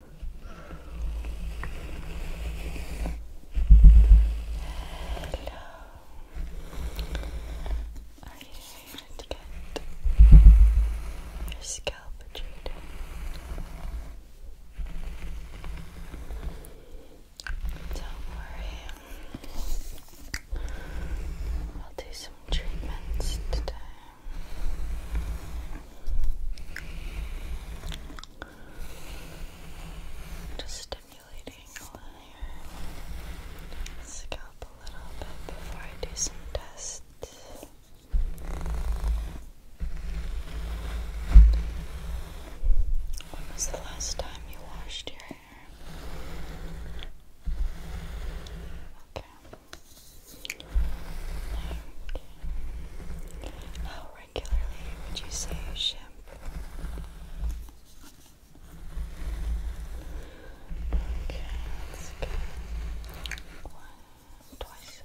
Are you here to get your scalp treated? Don't worry. I'll do some treatments today. Just stimulating your scalp a little bit before I do some tests. When was the last time you washed your hair? Okay. How regularly would you say you shampoo? Okay, that's twice.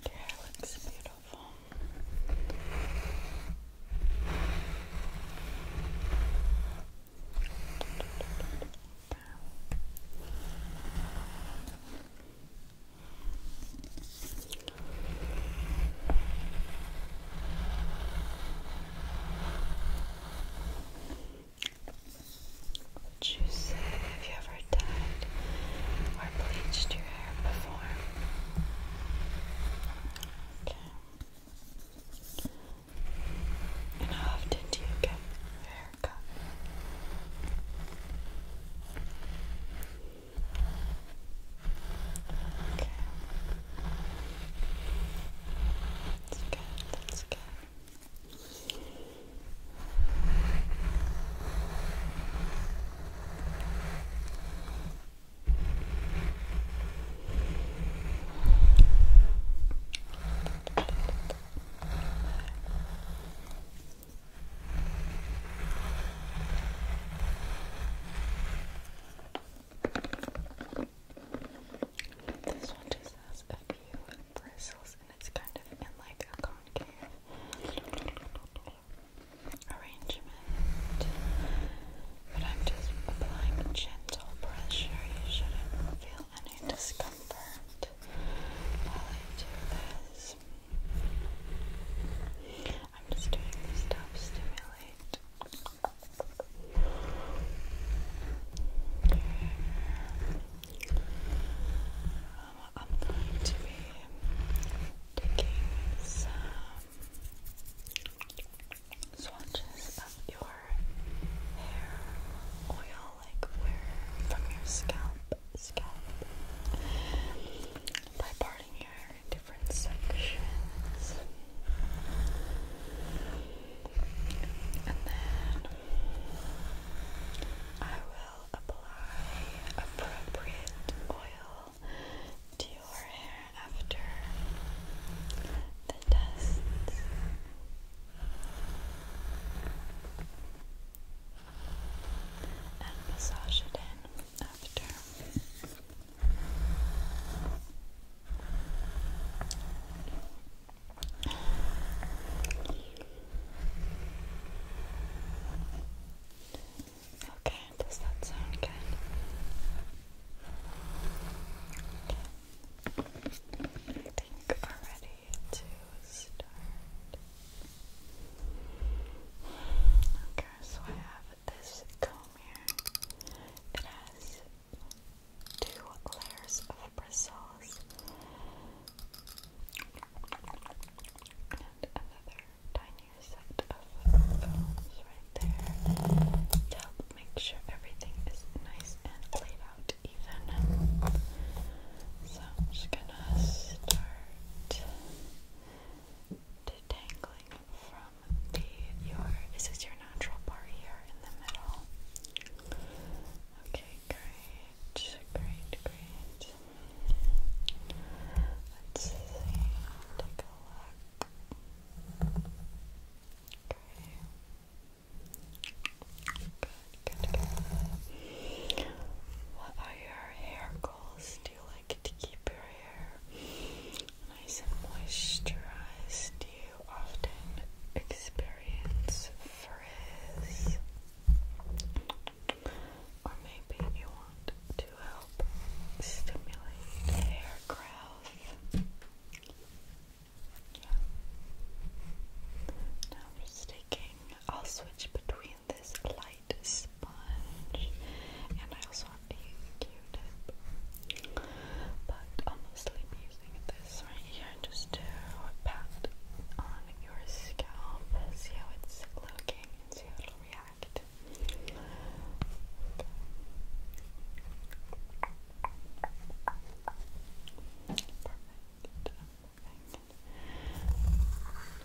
Okay. looks beautiful. Would you say have you ever dyed or bleached your hair before? And how often do you get your hair cut? Okay. That's good, that's good. This one just has a few bristles and it's kind of in like a concave arrangement. But I'm just applying gentle pressure. You shouldn't feel any discomfort while I do this. I'm just doing this to stimulate um, I'm going to be taking some swatches of your hair oil, like where from your scalp, scalp, by parting your hair in different sections, and then I will apply appropriate oil to your hair after the tests. And massage it in after. Okay, does that sound good? think we're ready to start. Okay, so I have this comb here. It has two layers of bristles and another tinier set of phones right there help make sure everything is nice and laid out even. So I'm just gonna start detangling from the your is your natural part here in the middle? Okay, great, great, great. Let's take a look. What are your hair goals? Do you like to keep your hair nice and moisturized? Do you often experience frizz? Or maybe you want to help stimulate hair growth now I'm just I'll switch between this light sponge and I also have a Q-tip. But I'll mostly using this right here just to pat on your scalp, see how it's looking and see how it'll react fact. Perfect.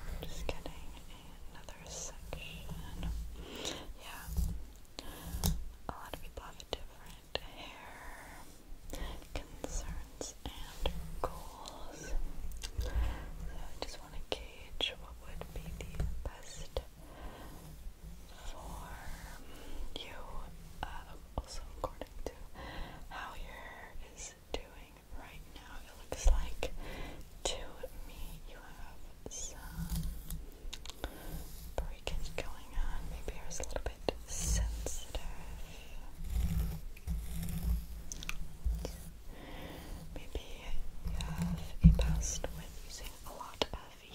I'm just getting another section. Yeah. A lot of people have different hair concerns and goals. So I just want to gauge what would be the best for you, uh, also according to how your hair is doing right now. It looks like to me you have some breakage going on. Maybe yours a little bit sensitive. Maybe you have a past with using a lot of if you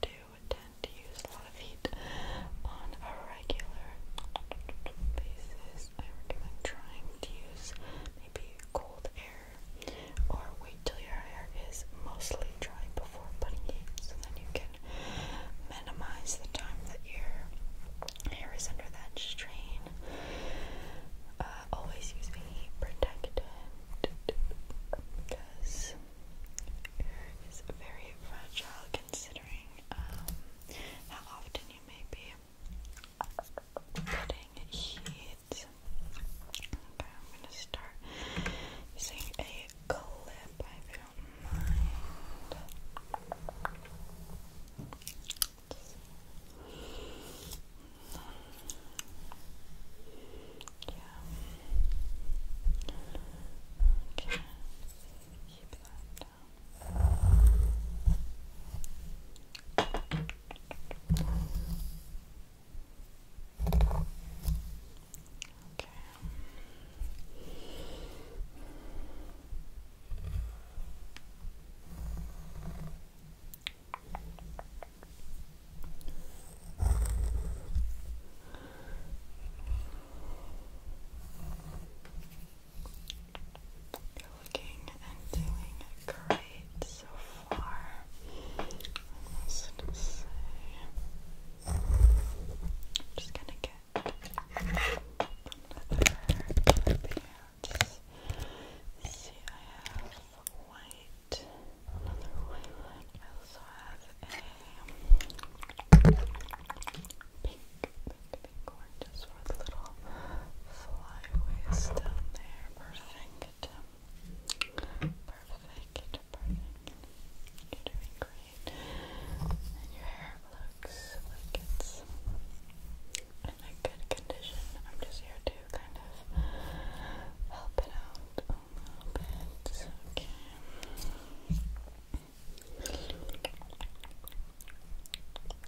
do tend to use a lot of heat on a regular basis, I recommend trying to use maybe cold air or wait till your hair is mostly dry before putting it so then you can minimize the time that your hair is under that strain. Uh, always use a heat protectant because hair is very fragile considering um, how often you may be putting heat Okay, I'm gonna start using a clip if you Yeah. Okay. Keep that down. Okay. You're looking and doing great so far. let I'm just gonna get another pants. See, I have white, another white I also have a pink, pink, for the little flyaways down there. Perfect. Perfect, You're doing great. your hair looks like it's in a good condition. I'm just here to kind of help it out a little bit. Okay. Do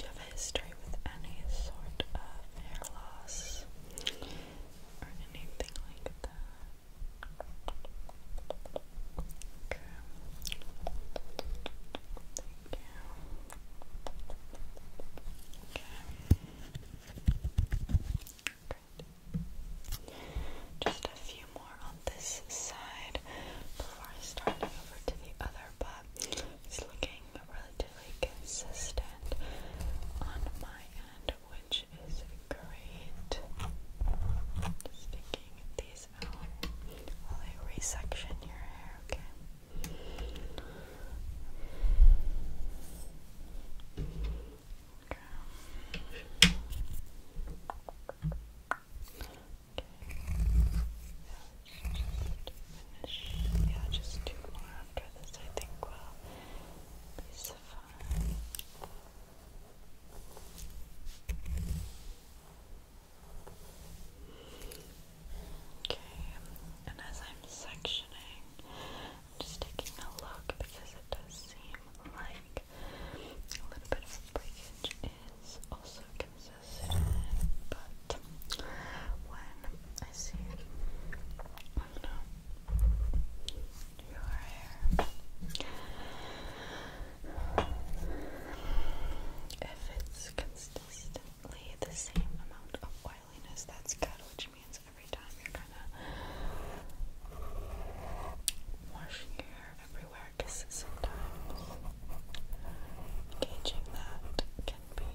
you have a history with any sort of hair loss? Thank you. Just a few more on this side before I over to the other, but it's looking really relatively consistent on my end, which is great. Just these out while I resection your hair, okay? finish. Yeah, just two more after this, I think, will be suffice. Okay, and as I'm sectioning, I'm just taking a look because it does seem like a little bit of breakage is also consistent, but but when I see, your hair, if it's consistently the same amount of oiliness, that's good, which means every time you're gonna wash your hair everywhere, because sometimes gauging that can be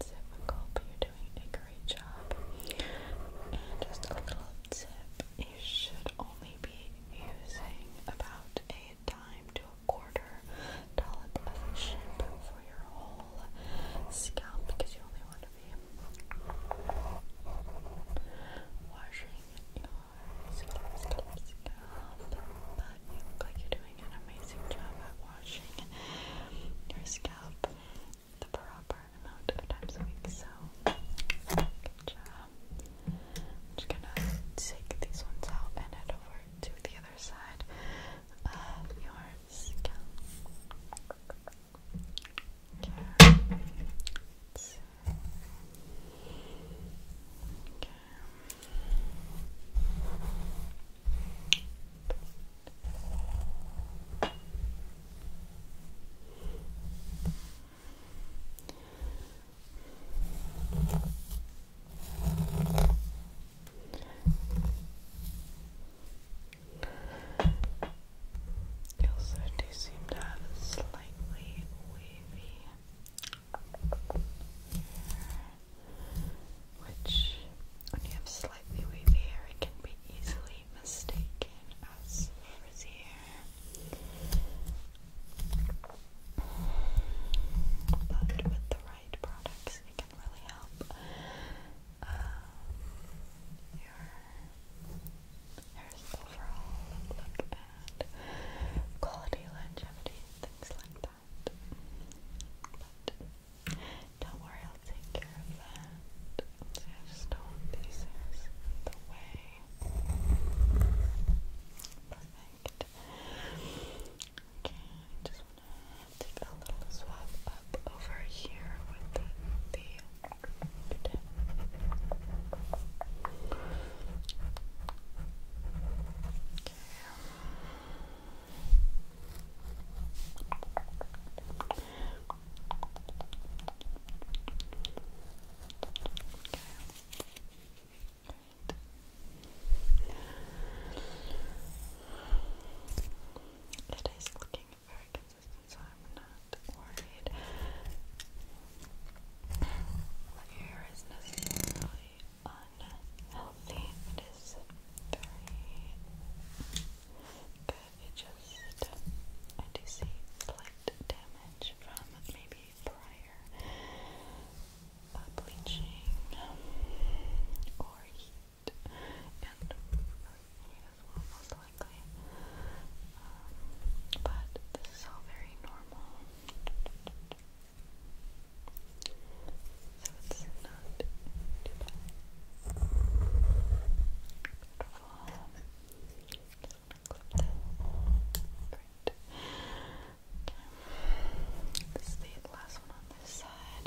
difficult, but you're doing a great job. just a little tip you should only be using about a dime to a quarter dollop of shampoo for your whole scalp because you only want to be washing your scalp. But you look like you're doing an amazing job at washing your scalp up the proper amount of times a week. So, good job. I'm just gonna take these ones out and head over to the other side of your you also do seem to have a slightly wavy which when you have slightly wavy hair it can be easily mistaken as frizzy hair. But with the right products it can really help um, your hair's overall look and quality, longevity, things like that don't worry, I'll take care of that. just don't pieces the way. Perfect. Okay, I just wanna take a little swab up over here with the, it is looking very consistent, so I'm not worried. Here is necessarily unhealthy. It is very good. It just I slight damage from maybe prior uh, bleaching or heat and heat as most likely. Um, but this is all very normal. So it's not too bad. Beautiful. Just gonna clip that. Great. This is the last one on this side.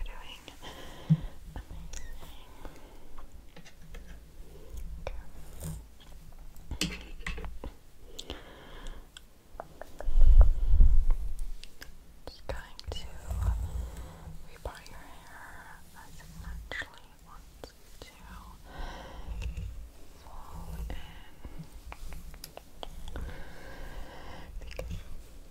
you Okay. Just going to rebar your hair as it naturally to fall in.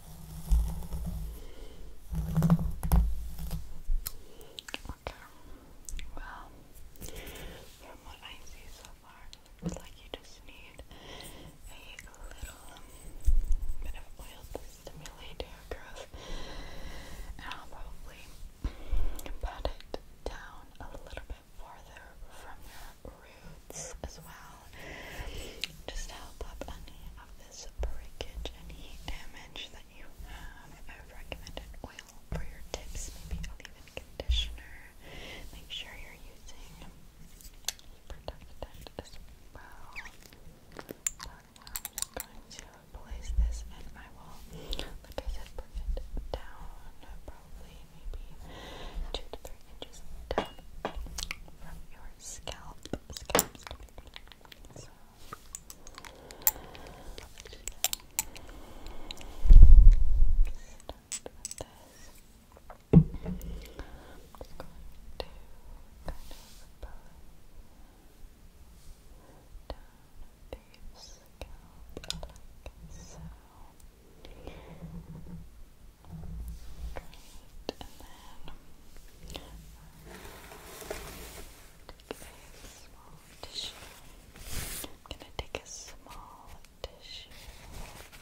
Okay. Well, from what I see so far, it like you just need a little bit of oil to stimulate hair growth. And I'll probably pat it down a little bit farther from your roots as well. Just help up any of this breakage and heat damage that you have. I would recommend an oil for your tips, maybe leave-in conditioner. Make sure you're using protectant as well. I'm going to place this and I will, like I said, it down probably maybe two to three inches down from your scalp scams to be so let's just start with this I'm just going to kind of pull down the scalp like so. And Great, and gonna take a small tissue. Just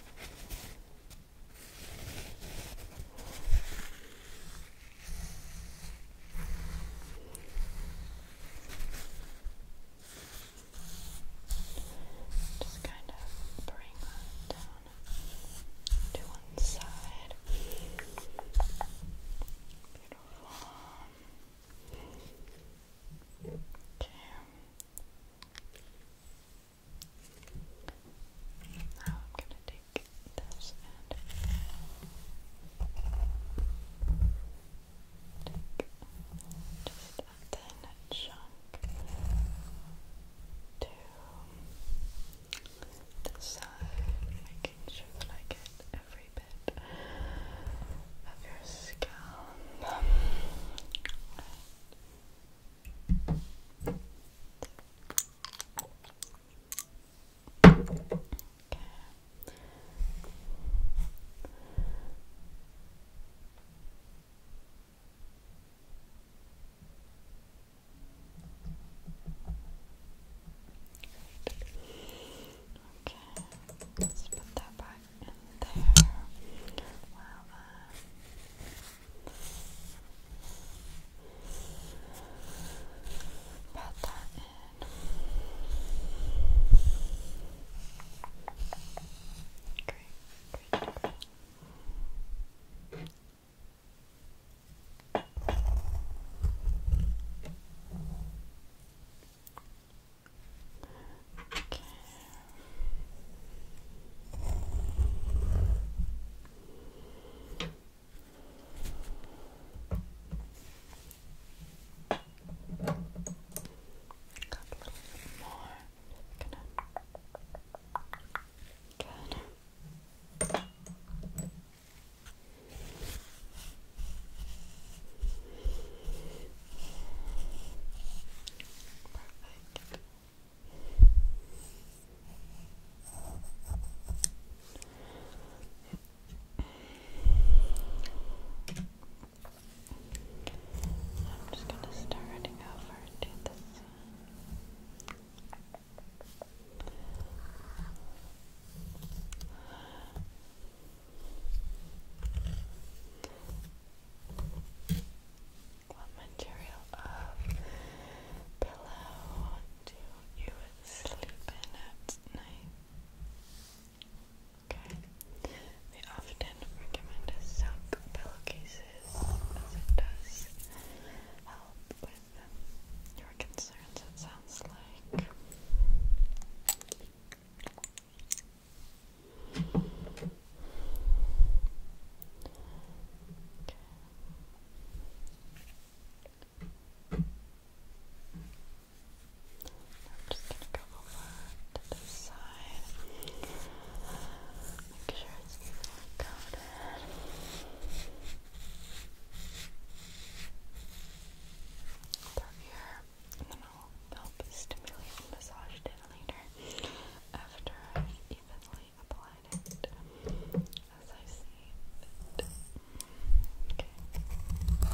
kind of bring that down to one side. Beautiful. Okay. Now I'm going to take this and take just a thin chunk to this side, making sure that I get every bit of your scalp. Okay, let's put that back in there. Wow. Uh, pat that in. Great, great, great time. Okay. Got a little bit more. Just gonna Good. Perfect. I'm just going to start running over to this what material of pillow do you sleep in at night? Okay often recommend as silk pillowcases as it does help with your concerns, it sounds like. just going to go over to this side. Make sure it's evenly coated. Through here, and then I'll help stimulate and massage it later after I've evenly applied it as I see it. Okay.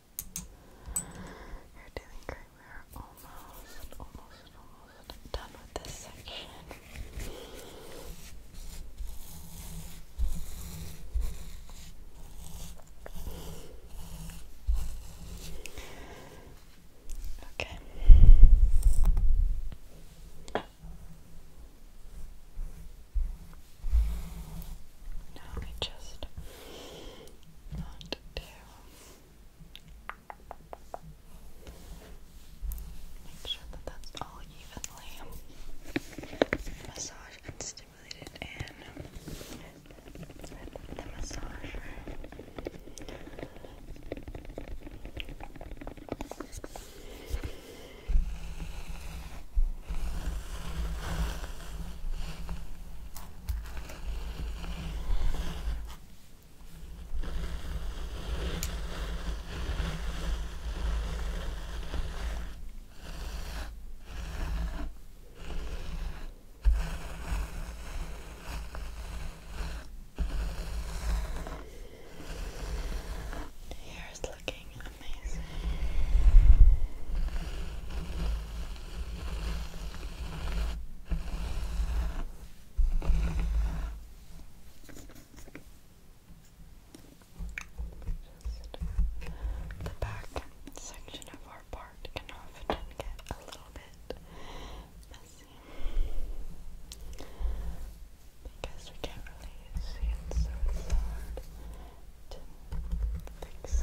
You're doing great. We're almost, almost, almost done with this section. Okay. Now we just Make sure that that's all evenly massaged and stimulated in the massager. The hair is looking amazing. Just the back section of our part can often get a little bit messy because we can't really see it, so it's hard to fix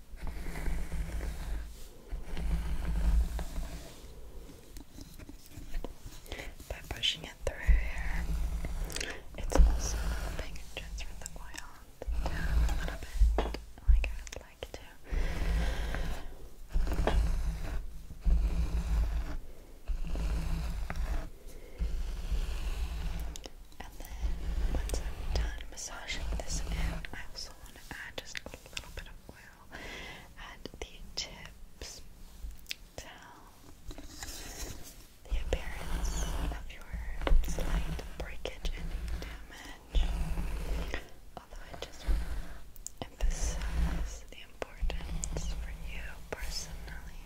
By pushing it through here, it's also helping transfer the oil down a little bit, like I would like to. And then once I'm done massaging this out, I also want to add just a little bit of oil at the tips to help the appearance of your slight breakage and damage. Although I just emphasize the importance for you personally.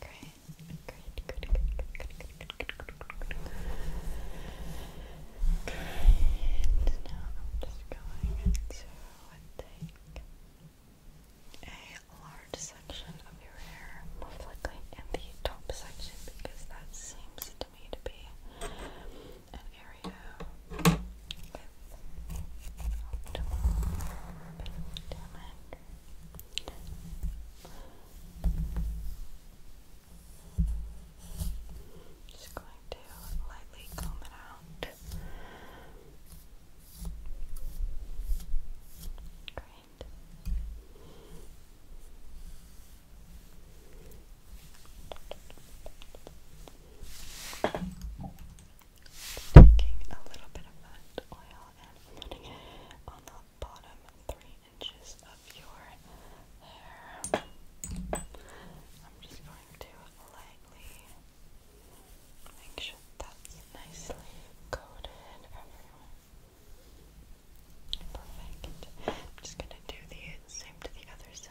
Okay. great, good, good, good, good, good, good, good, good, good. Now I'm just going to take a large section of your hair, most likely in the top section, because that seems to me to be an area with optimal damage. Just going to lightly comb it out. Great. Taking a little bit of oil on the bottom three inches of your hair. I'm just going to lightly make sure that's nicely coated everywhere. Perfect. I'm just gonna do the same to the other side.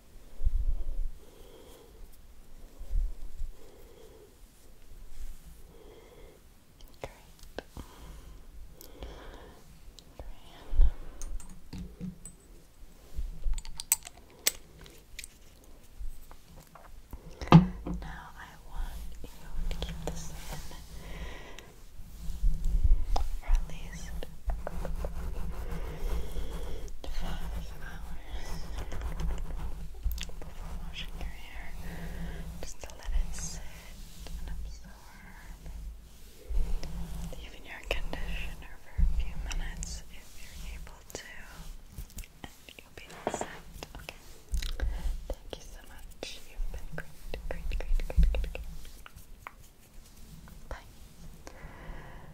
Great. Now I want you to keep this in. Or at least before washing your hair just let it sit and absorb even your conditioner for a few minutes if you're able to and you'll be set, okay? Thank you so much, you've been great, great, great, great, great, great. Bye.